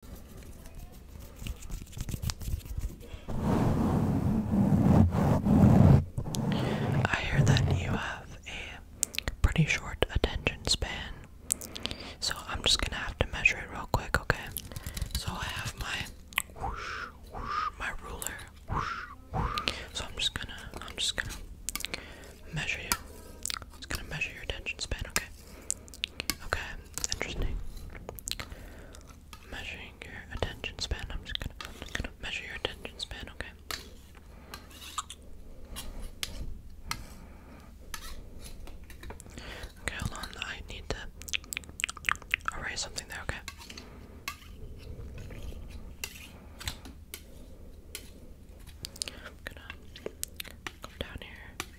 I hear that you have a pretty short attention span, so I'm just gonna have to measure it real quick, okay? So I have my whoosh, whoosh, my ruler, whoosh, whoosh. So I'm just gonna, I'm just gonna measure you. I'm just gonna measure your attention span, okay? Okay, interesting. Measuring your attention span. I'm just gonna, measure your attention span, okay? Okay, hold on. I need to erase something there, okay? gonna come down here.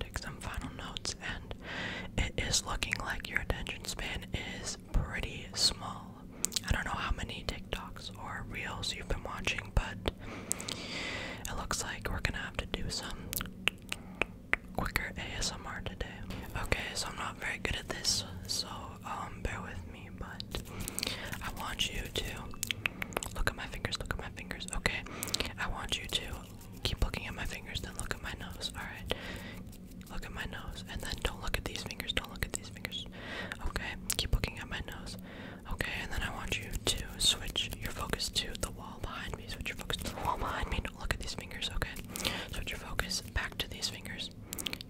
Take some final notes, and it is looking like your attention span is pretty small. I don't know how many TikToks or reels you've been watching, but it looks like we're gonna have to do some quicker ASMR today. Okay, so I'm not very good at this, so um, bear with me, but I want you to look at my fingers, look at my fingers, okay? I want you to keep looking at my fingers, then look at my nose, alright? Look at my nose, and then don't look at these fingers, don't look at these fingers, okay? Keep looking at my nose, okay? And then I want you to switch your focus to the wall behind me, switch your focus to the wall behind me, don't look at these fingers, okay? Switch your focus back to these fingers,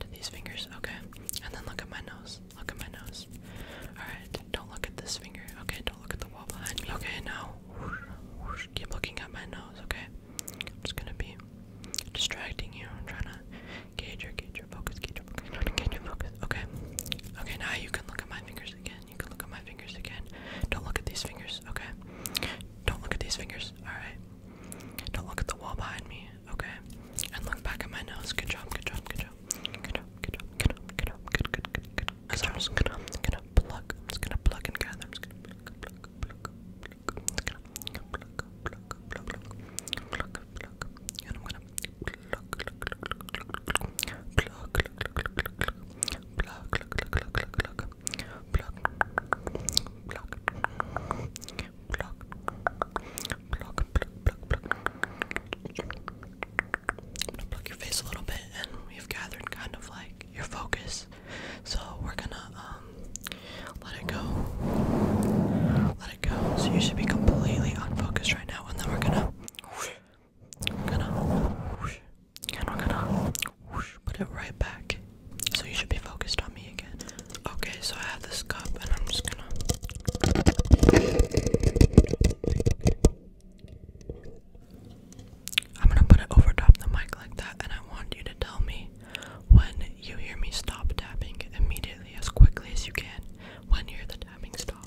to these fingers, okay. And then look at my nose. Look at my nose. Alright, don't look at this finger. Okay, don't look at the wall behind Okay, now keep looking at my nose, okay? I'm just gonna be distracting you. I'm trying to gauge your gauge your focus, gauge your focus, gauge your focus. Okay. Okay, now you can look at my fingers again. You can look at my fingers again. Don't look at these fingers, okay? Don't look at these fingers. Alright. Don't look at the wall behind me, okay? And look back at my nose. Good job, good job, good job. Good job, good job, good job, good good, good, good, good. I'm just gonna, gonna pluck, I'm just gonna pluck and gather pluck, pluck, pluck, pluck, pluck, your face a little bit, and we've gathered kind of like your focus. So we're gonna let it go, let it go. So you should be completely unfocused right now, and then we're gonna. we're gonna we're gonna put it right back. So you should be focused on me again. Okay, so I have this cup and I'm just gonna. I'm gonna put it over top the mic like that, and I want you to tell me when you hear me stop tapping immediately as quickly as you can when you hear the tapping stop.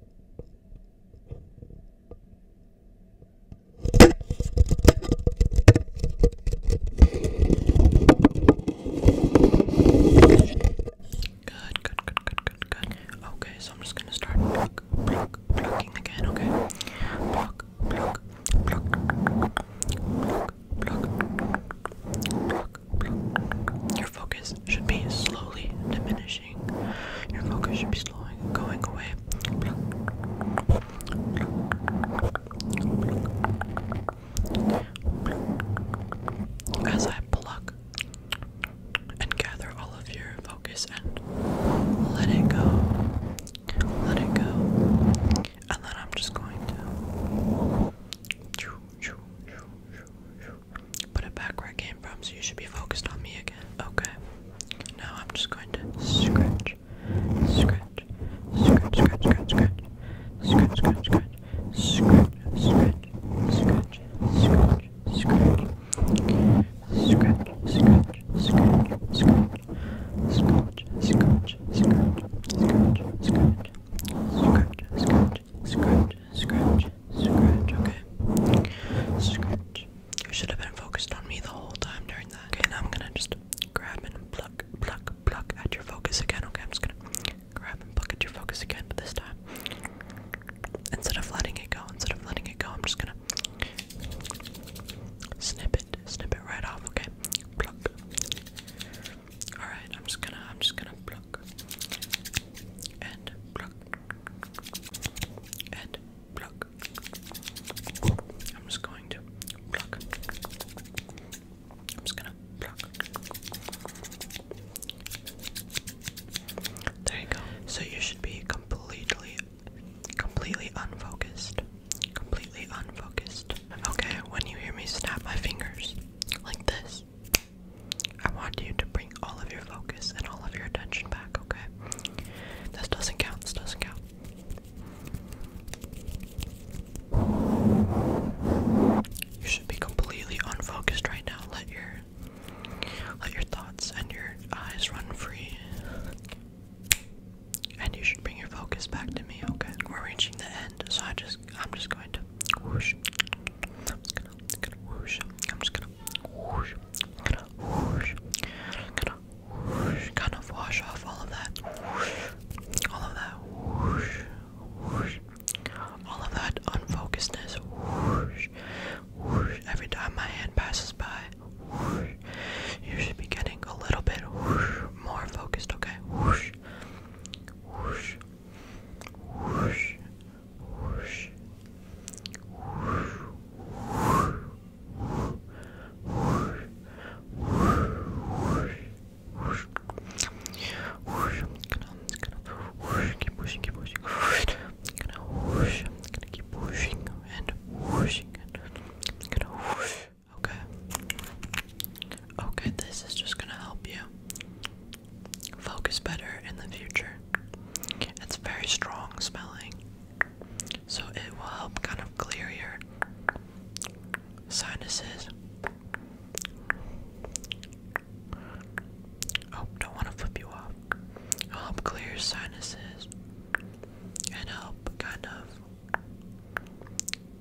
Good, good, good, good, good, good. Okay, so I'm just gonna start pluck, pluck, plucking again, okay? Pluck, pluck, pluck, pluck, pluck, pluck, your focus should be slowly diminishing. Your focus should be slowing, going away. As I pluck and gather all of your focus and let it go, let it go, and then I'm just going to. Put it back where it came from, so you should be focused on me again. Okay. Now I'm just going to scratch, scratch, scratch, scratch, scratch, scratch, scratch, scratch, scratch, scratch, scratch, scratch, scratch, scratch, scratch, scratch, scratch, scratch. Scratch, scratch, scratch, scratch, scratch, scratch, scratch, scratch, scratch, scratch, okay. Scratch. You should have been focused on me the whole time during that. Okay, now I'm gonna just grab and pluck, pluck, pluck at your focus again, okay? I'm just gonna grab and pluck at your focus again, but this time, instead of letting it go, instead of letting it go, I'm just gonna snip it, snip it right off, okay? Pluck. All right, I'm just gonna, I'm just gonna pluck and pluck and pluck. I'm just going to pluck. I'm just gonna pluck. There you go. So you should be completely, completely unfocused. Completely unfocused. Okay, when you hear me snap my fingers like this, I want you to bring all of your focus and all of your attention back, okay? This doesn't count, this doesn't count. You should be completely unfocused right now. Let your let your thoughts and your eyes run free. And you should bring your focus back to me, okay? We're reaching the end, so I just I'm just going to I'm just gonna, wash off all of that. All of that All of that unfocusedness. Every time my hand passes by, You should be getting a little bit more focused, okay? whoosh, whoosh, whoosh, whoosh, whoosh, whoosh, whoosh, whoosh, whoosh, I'm just gonna, I'm just gonna whoosh, keep pushing, keep pushing, I'm gonna whoosh, I'm gonna keep pushing and whooshing and I'm gonna whoosh. Okay. Okay, this is just gonna help you focus better in the future. It's very strong smelling, so it will help kind of clear your sinuses. Oh, don't want to flip you off. help clear your sinuses and help kind of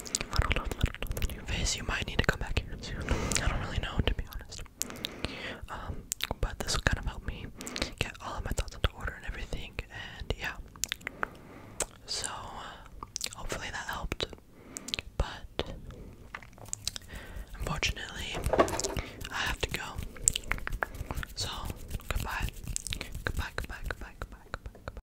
I don't your face, you might need to come back here too. I don't really know, to be honest. Um, but this will kind of help me get all of my thoughts into order and everything, and yeah. So, uh, hopefully that helped. But, unfortunately, I have to go. So, goodbye. Goodbye, goodbye, goodbye, goodbye, goodbye, goodbye.